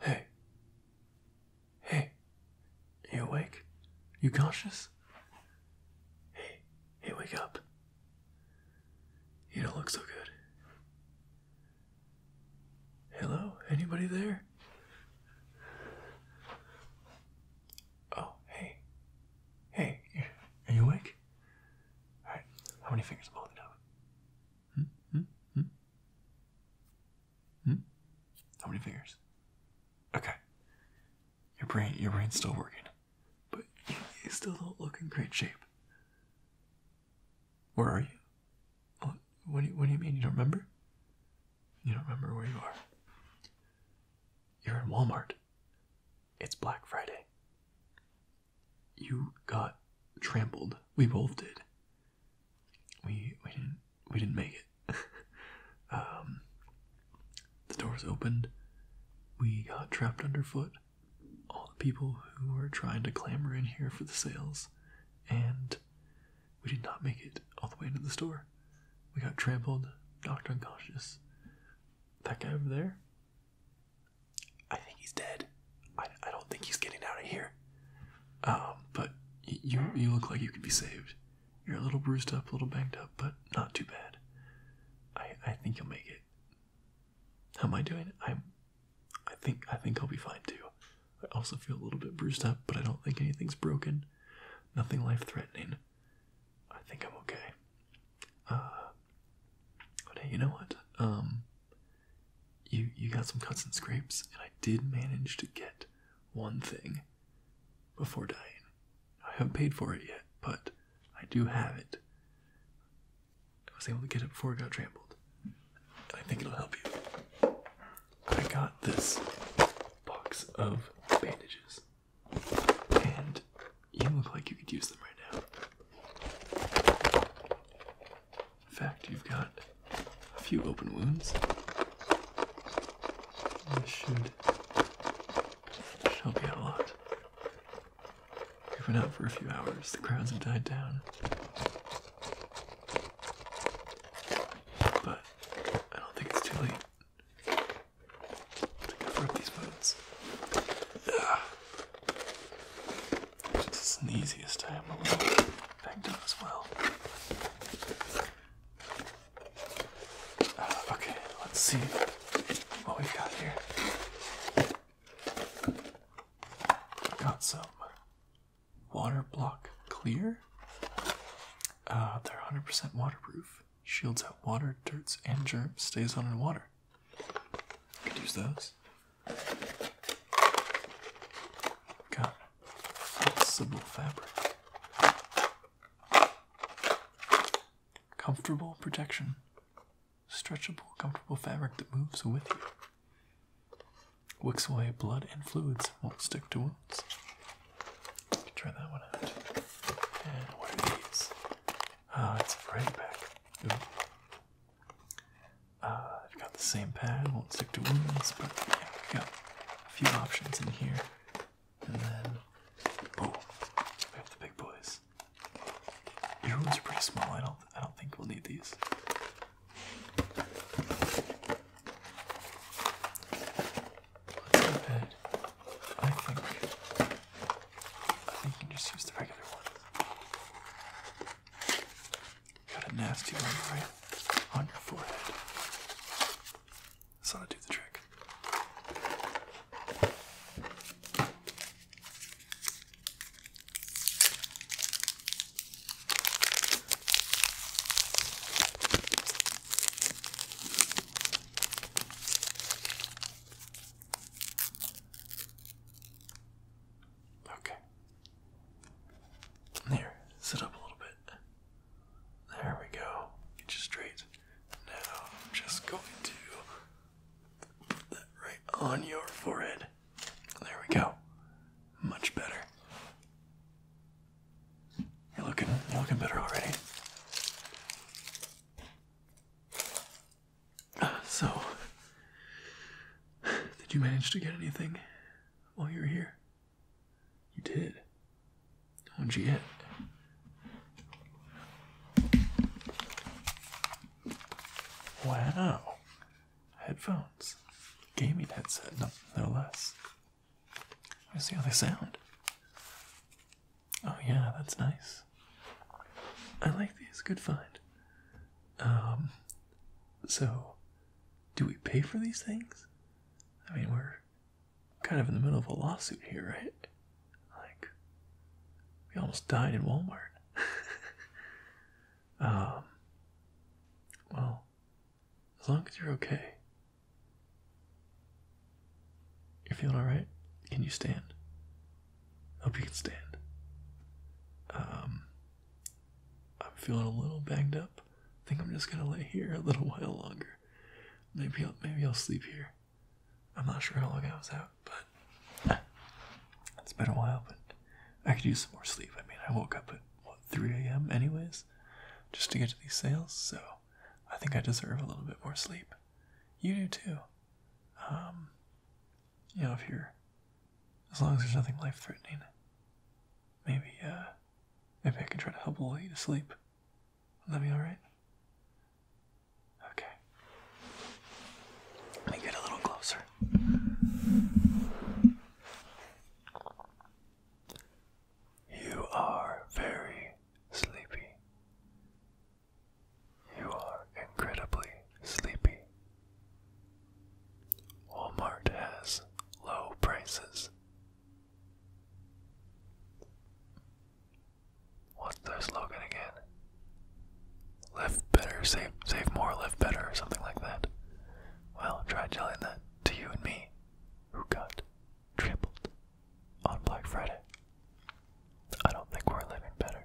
Hey. Hey. you awake? You conscious? Hey, hey, wake up. You don't look so good. Hello? Anybody there? Oh, hey. Hey, are you awake? Alright, how many fingers am I holding up? Hmm? Hmm? Hmm? Hmm? How many fingers? Okay. Your brain your brain's still working. But you, still don't look in great shape. Where are you? What, do what do you mean you don't remember? You don't remember where you are? You're in Walmart. It's Black Friday. You got trampled. We both did. We we didn't we didn't make it. um, the doors opened. We got trapped underfoot. All the people who were trying to clamber in here for the sales, and we did not make it all the way into the store. We got trampled, knocked unconscious. That guy over there? I think he's dead. I, I don't think he's getting out of here. Um, but you you look like you could be saved. You're a little bruised up, a little banged up, but not too bad. I I think you'll make it. How am I doing? I'm I think I think I'll be fine too. I also feel a little bit bruised up, but I don't think anything's broken. Nothing life threatening. I think I'm okay. Uh, hey, you know what? Um, you you got some cuts and scrapes, and I did manage to get one thing before dying. I haven't paid for it yet, but I do have it. I was able to get it before it got trampled. I think it'll help you. I got this box of bandages. And you look like you could use them right now. In fact, you've got a few open wounds. This should, should help you a lot. We've been out for a few hours, the crowds have died down. But I don't think it's too late. I've rubbed these buttons. yeah, This is the easiest. I am a little banged up as well. Uh, okay, let's see what we've got here. i got some water block clear. Uh, they're 100% waterproof. Shields out water, dirts, and germs. Stays on in water. Could use those. Got flexible fabric. Comfortable protection. Stretchable, comfortable fabric that moves with you. Wicks away blood and fluids, won't stick to wounds. Try that one out. And what are these? Oh, it's a variety pack. Uh, I've got the same pad, won't stick to wounds, but yeah, we've got a few options in here. And then, oh, we have the big boys. Your wounds are pretty small. I don't, I don't think we'll need these. I think I think you can just use the regular one. Got a nasty one right on your forehead. This ought to do the trick. Okay. There, sit up a little bit. There we go. Get you straight. Now just going to put that right on your forehead. There we go. Much better. You're looking you're looking better already. So, did you manage to get anything while you were here? You did. What'd you get? Wow. Headphones. Gaming headset, no, no less. Let's see how they sound. Oh yeah, that's nice. I like these. Good find. Um, so, do we pay for these things? I mean, we're kind of in the middle of a lawsuit here, right? Like, we almost died in Walmart. um, well, as long as you're okay. You're feeling alright? Can you stand? I hope you can stand. Um, I'm feeling a little banged up. I think I'm just gonna lay here a little while longer. Maybe I'll, maybe I'll sleep here. I'm not sure how long I was out, but it's been a while. But I could use some more sleep. I mean, I woke up at what 3 a.m. anyways just to get to these sales, so I think I deserve a little bit more sleep. You do too. Um, you know, if you're, as long as there's nothing life threatening, maybe, uh, maybe I can try to help lull you to sleep. Let me, alright? Okay. Let me get a little closer. You are very sleepy. You are incredibly sleepy. Walmart has low prices. What's their slogan again? Live better, save save more, live better, or something like that. Well, try telling that to you and me, who got tripled on Black Friday. I don't think we're living better.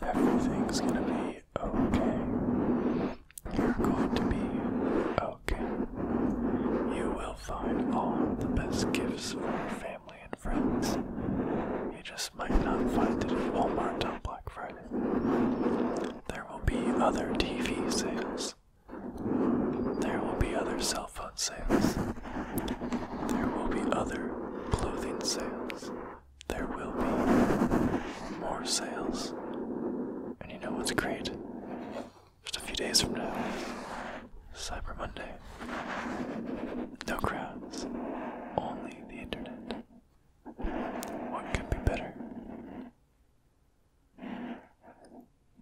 Everything's gonna be okay. You're going to be okay. You will find all the best gifts for family and friends. You just might not find it at Walmart on Black Friday. There will be other TV sales. There will be other sales sales. There will be other clothing sales. There will be more sales. And you know what's great? Just a few days from now, Cyber Monday. No crowds, only the internet. What could be better?